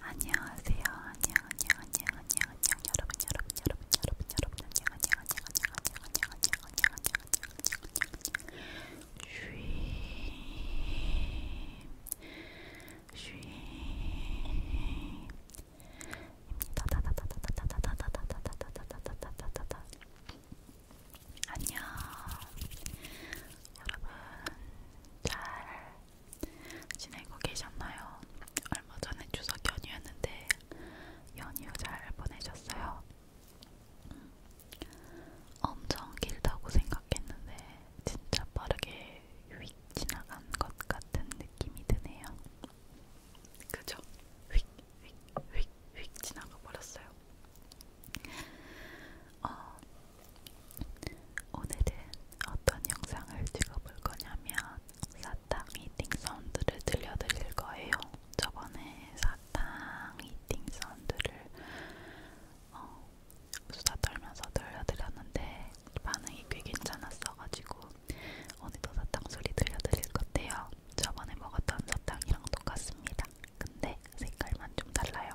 안녕하세요. 안녕 안녕 안녕 안녕 안녕 여러분 여러분 여러분 여러분 여러분 안녕 안녕 안녕 안녕 안녕 안녕 안녕 안녕 안녕 안녕 안녕 안녕 안녕. 여러분, 잘 지내고 계셨나요? 얼마 전에 추석 연휴였는데, 연휴 잘 보내셨어요? 음, 엄청 길다고 생각했는데, 진짜 빠르게 휙 지나간 것 같은 느낌이 드네요. 그죠? 휙, 휙, 휙, 휙 지나가 버렸어요. 어, 오늘은 어떤 영상을 찍어볼 거냐면 사탕 이팅 사운드를 들려드릴 거예요. 저번에 사탕 이팅 사운드를 어, 수다 떨면서 들려드렸는데 반응이 꽤 괜찮았어가지고 오늘도 사탕 소리 들려드릴 건데요. 저번에 먹었던 사탕이랑 똑같습니다. 근데 색깔만 좀 달라요.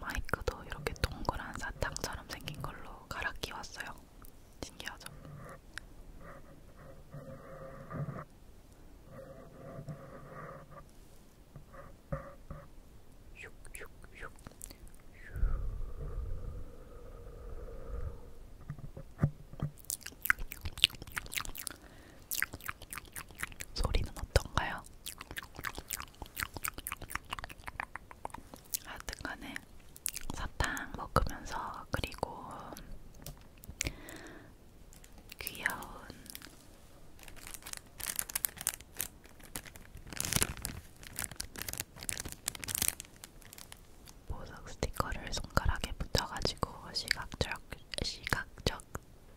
마이크도 이렇게 동그란 사탕처럼 생긴 걸로 갈아 끼웠어요. 신기하죠? 슉슉슉 소리는 어떤가요? 하여튼간에 사탕 먹으면서 그리고 귀여운 보석 스티커를 손가락에 붙여가지고 시각적 시각적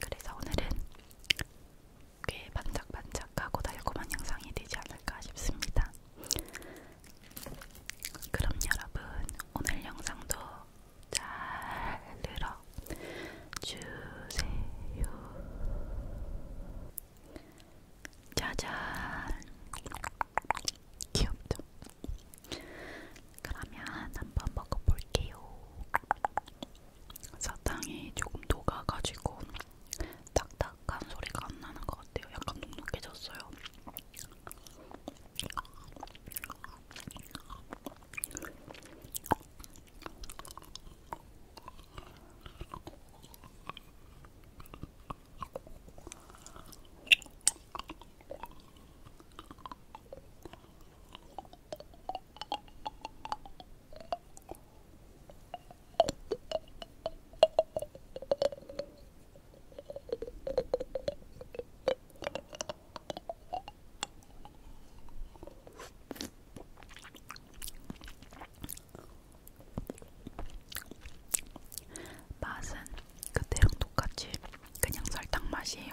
그래서 오늘은 꽤 반짝반짝하고 달콤한 영상이 되지 않을까 싶습니다. 그럼 여러분 오늘 영상도 잘 들어주세요. 짜잔 귀엽죠? 그러면 한번 먹어볼게요. 사탕이 조금 녹아가지고 딱딱한 소리가 안 나는 것 같아요. 약간 눅눅해졌어요. 맛은 그때랑 똑같이 그냥 설탕 맛이에요.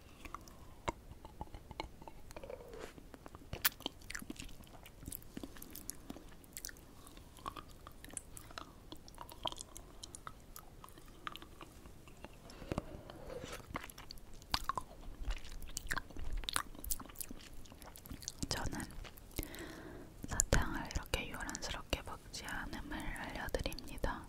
저는 사탕을 이렇게 요란스럽게 먹지 않음을 알려드립니다.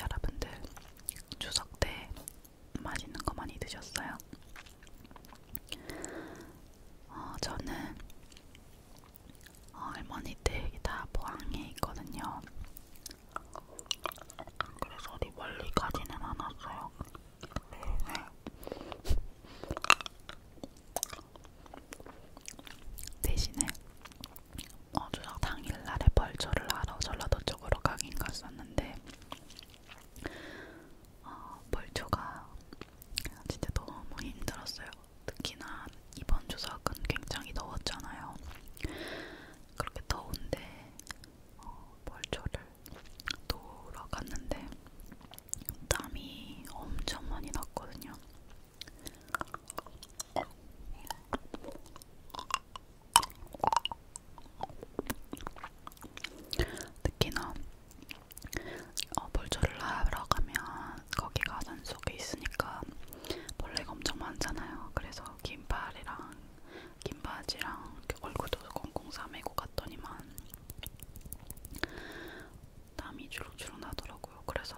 여러분들 추석 때 맛있는 거 많이 드셨어요? 어, 저는 어, 할머니 댁이 다 포항에 있거든요. 그래서 어디 멀리 가지는 않았어요. 네. 대신에 어, 추석 당일날에 벌초를 하러 전라도 쪽으로 가긴 갔었는데 어, 벌초가 진짜 너무 힘들었어요. 특히나 이번 추석은 굉장히 더웠잖아요. 그렇게 더운데 어, 벌초를 놀러 갔는데 땀이 엄청 많이 났거든요. 특히나 어, 볼조를 하러 가면 거기가 산속에 있으니까 벌레가 엄청 많잖아요. 그래서 긴팔이랑 긴 바지랑 이렇게 얼굴도 꽁꽁 싸매고 갔더니만 땀이 주룩주룩 나더라고요. 그래서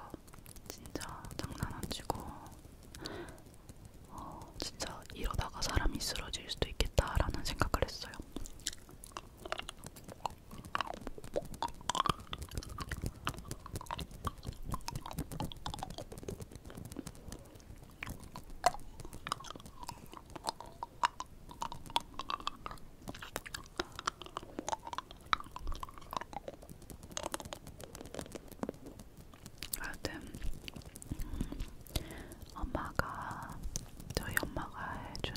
진짜 장난 안 치고 어, 진짜 이러다가 사람이 쓰러질 수도 있겠다라는 생각을 했어요. 하여튼 음, 엄마가 저희 엄마가 해준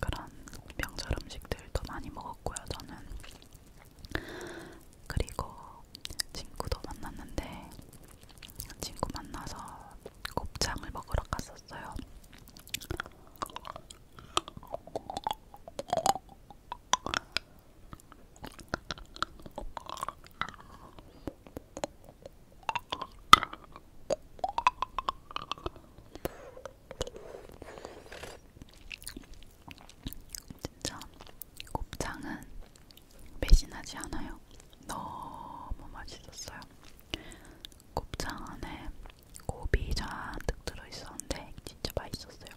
그런 명절 음식들도 많이 먹었고요 저는 그리고 친구도 만났는데 친구 만나서 곱창을 먹으러 갔었어요. 진짜 곱창은 배신하지 않아요. 너무 맛있었어요. 곱창 안에 고비 잔뜩 들어있었는데 진짜 맛있었어요.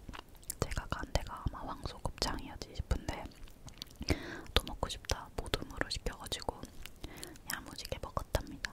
제가 간 데가 아마 황소 곱창이었지 싶은데 또 먹고 싶다 모둠으로 시켜가지고 야무지게 먹었답니다.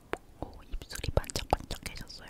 오, 어, 입술이 반짝반짝해졌어요.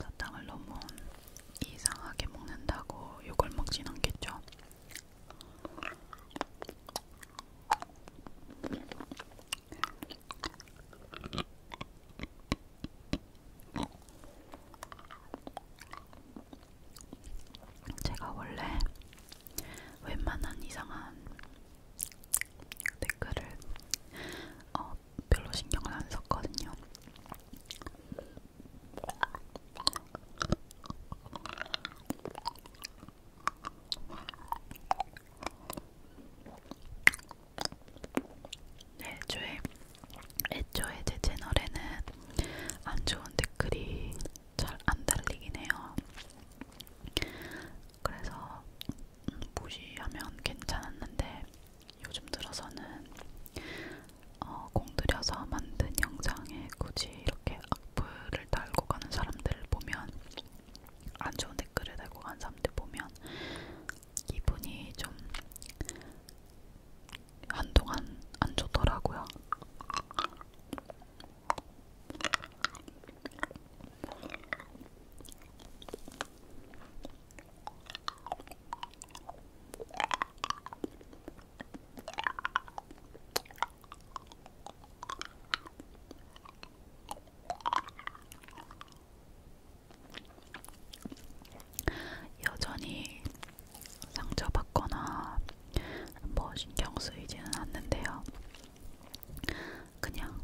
사탕을 너무 이상하게 먹는다고 욕을 먹진 않겠죠? 제가 원래 웬만한 이상한 댓글을 어, 별로 신경을 안 썼거든요. 네, 애초에, 애초에 제 채널에는 안 좋은 댓글이 잘 안 달리긴 해요. 그래서 무시하면 괜찮았는데 요즘 들어서는 어, 공들여서 만든 영상에 굳이 이렇게 악플을 달고 가는 사람들을 보면 안 좋은 댓글을 달고 가는 사람들 보면 기분이 좀 한동안 안 좋더라고요. 여전히 상처받거나 뭐 신경 쓰이지는 않는데요. 그냥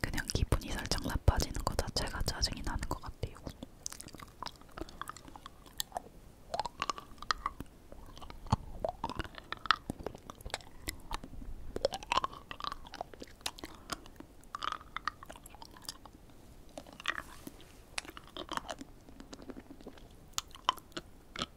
그냥 기분이 살짝 나빠지는 거 자체가 짜증이 나는 것 같아요.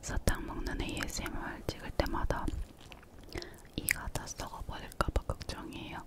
사탕 먹는 ASMR 찍을 때마다 이가 다 썩어버릴까봐 걱정이에요.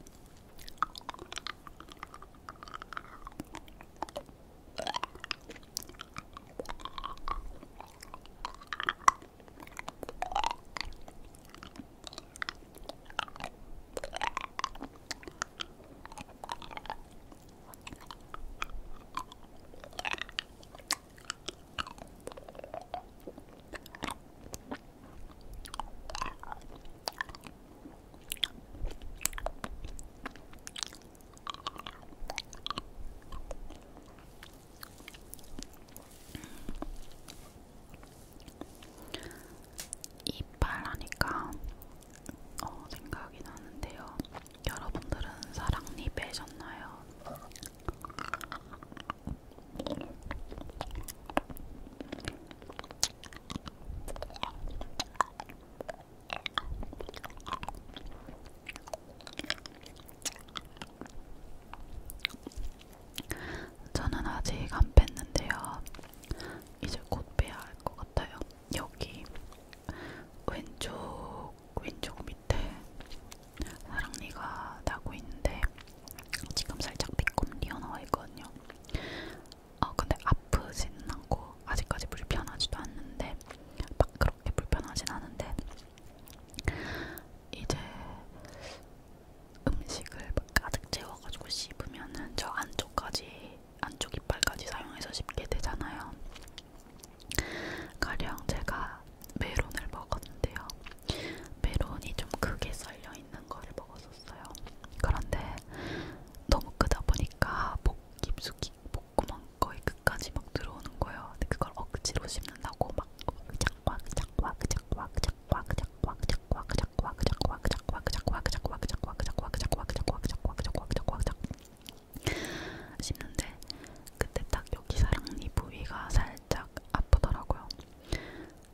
이빨 하니까 어, 생각이 나는데요. 여러분들은 사랑니 빼셨나요? 저는 아직 안 뺐는데요. 이제 곧 빼야 할 것 같아요. 여기 왼쪽 왼쪽 밑에 사랑니가 나고 있는데 지금 살짝 미끔 튀어나와 있거든요. 어 근데 아프지는 않고 아직까지 불편하지도 않는데 막 그렇게 불편하진 않은데 이제 음식을 막 가득 채워가지고 씹으면은 저 안쪽까지 안쪽 이빨까지 사용해서 씹게 되잖아요. 가령 제가 메론을 먹었는데요. 메론이 좀 크게 썰려 있는 거를 먹었었어요. 그런데 너무 크다 보니까 목 깊숙이 목구멍 거의 끝까지 막 들어오는 거예요. 근데 그걸 억지로 씹는다고 막 그작와 그작와 그작와 그작와 그작와 그작와 씹는데 그때 딱 여기 사랑니 부위가 살짝 아프더라고요.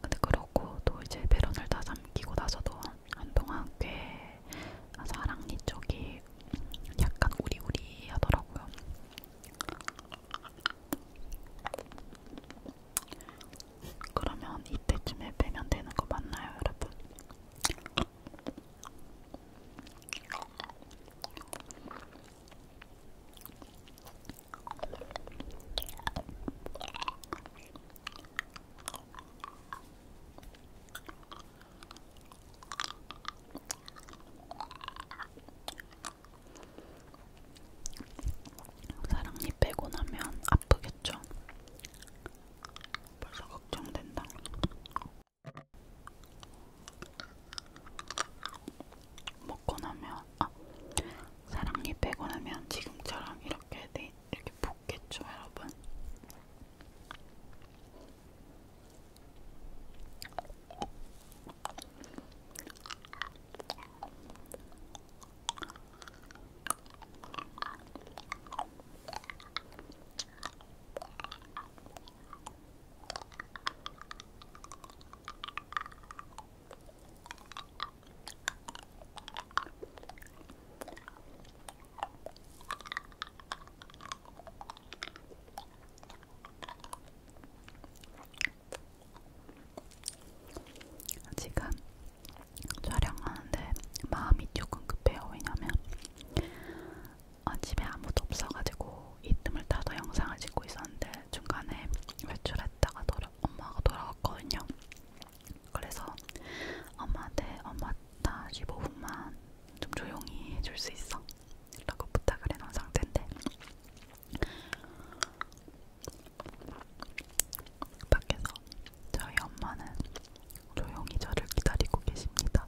근데 그러고 또 이제 베런을 다 삼키고 나서도 한동안 꽤 사랑니 쪽이 약간 우리우리 하더라고요. 그러면 이때쯤에 빼면 되는 거 맞나요, 여러분? 사랑니 빼고 나면 아프겠죠? 벌써 걱정된다. 먹고 나면 아 사랑니 빼고 나면 지금처럼 이렇게 돼 네, 이렇게 붓겠죠, 여러분? 지금 촬영하는데 마음이 조금 급해요. 왜냐면 어, 집에 아무도 없어가지고 이틈을 타서 영상을 찍고 있었는데 중간에 외출했다가 돌아, 엄마가 돌아왔거든요. 그래서 엄마한테 엄마 나 15분만 좀 조용히 해줄 수 있어? 라고 부탁을 해놓은 상태인데 밖에서 저희 엄마는 조용히 저를 기다리고 계십니다.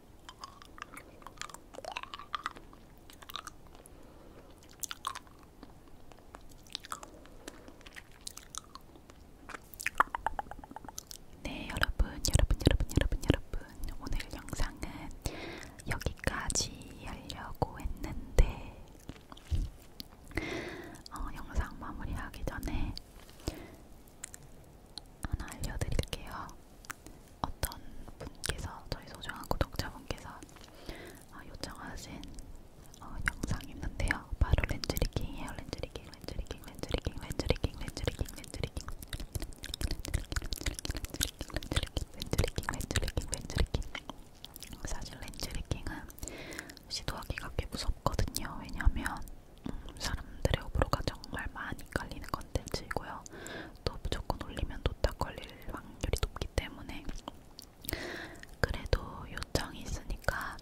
네, 여러분, 여러분, 여러분, 여러분, 여러분, 오늘 영상은 여기까지 하려고 했는데, 어, 영상 마무리하기 전에 하나 알려드릴게요. 어떤 분께서 저희 소중한 구독자분께서 어, 요청하신 어, 영상이 있는데요. 바로 렌즈리킹이에요. 렌즈리킹, 렌즈리킹, 렌즈리킹, 렌즈리킹, 렌즈리킹, 렌즈리킹, 렌즈리킹, 렌즈리킹, 렌즈리킹. 사실 렌즈리킹은 시도하기가 꽤 무섭거든요. 왜냐하면 음, 사람들의 호불호가 정말 많이 갈리는 것 컨텐츠이고요. 또 무조건 올리면 노딱 걸릴 확률이 높기 때문에 그래도 요청이 있으니까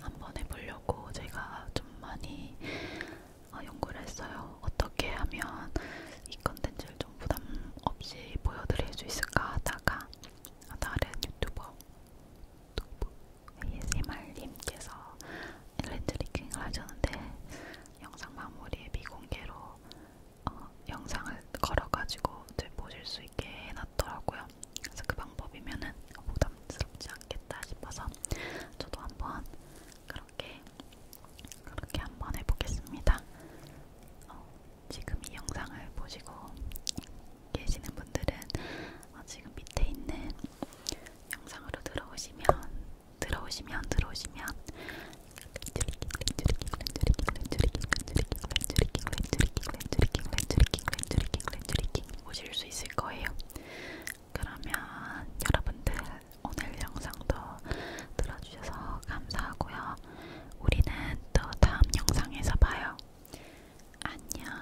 한번 해보려고 제가 좀 많이 어, 연구를 했어요. 어떻게 하면 이 컨텐츠를 좀 부담 없이 보여드릴 수 있을까 하다가 다른 유튜버 ASMR님께서 렌즈 리킹을 하셨는데 영상 마무리에 미공개로 어, 영상을 걸어가지고 이제 보실 수 있게 해놨더라고요. 그래서 그 방법이면은 부담스럽지 않겠다 싶어서 저도 한번 그렇게 그렇게 한번 해보겠습니다. 어, 지금 이 영상을 보시고 계시는 분들은 어, 지금 밑에 있는 영상으로 들어오시면 들어오시면 들어오시면 오실 수 있을 거예요. 그러면 여러분들 오늘 영상도 들어주셔서 감사하고요. 우리는 또 다음 영상에서 봐요. 안녕.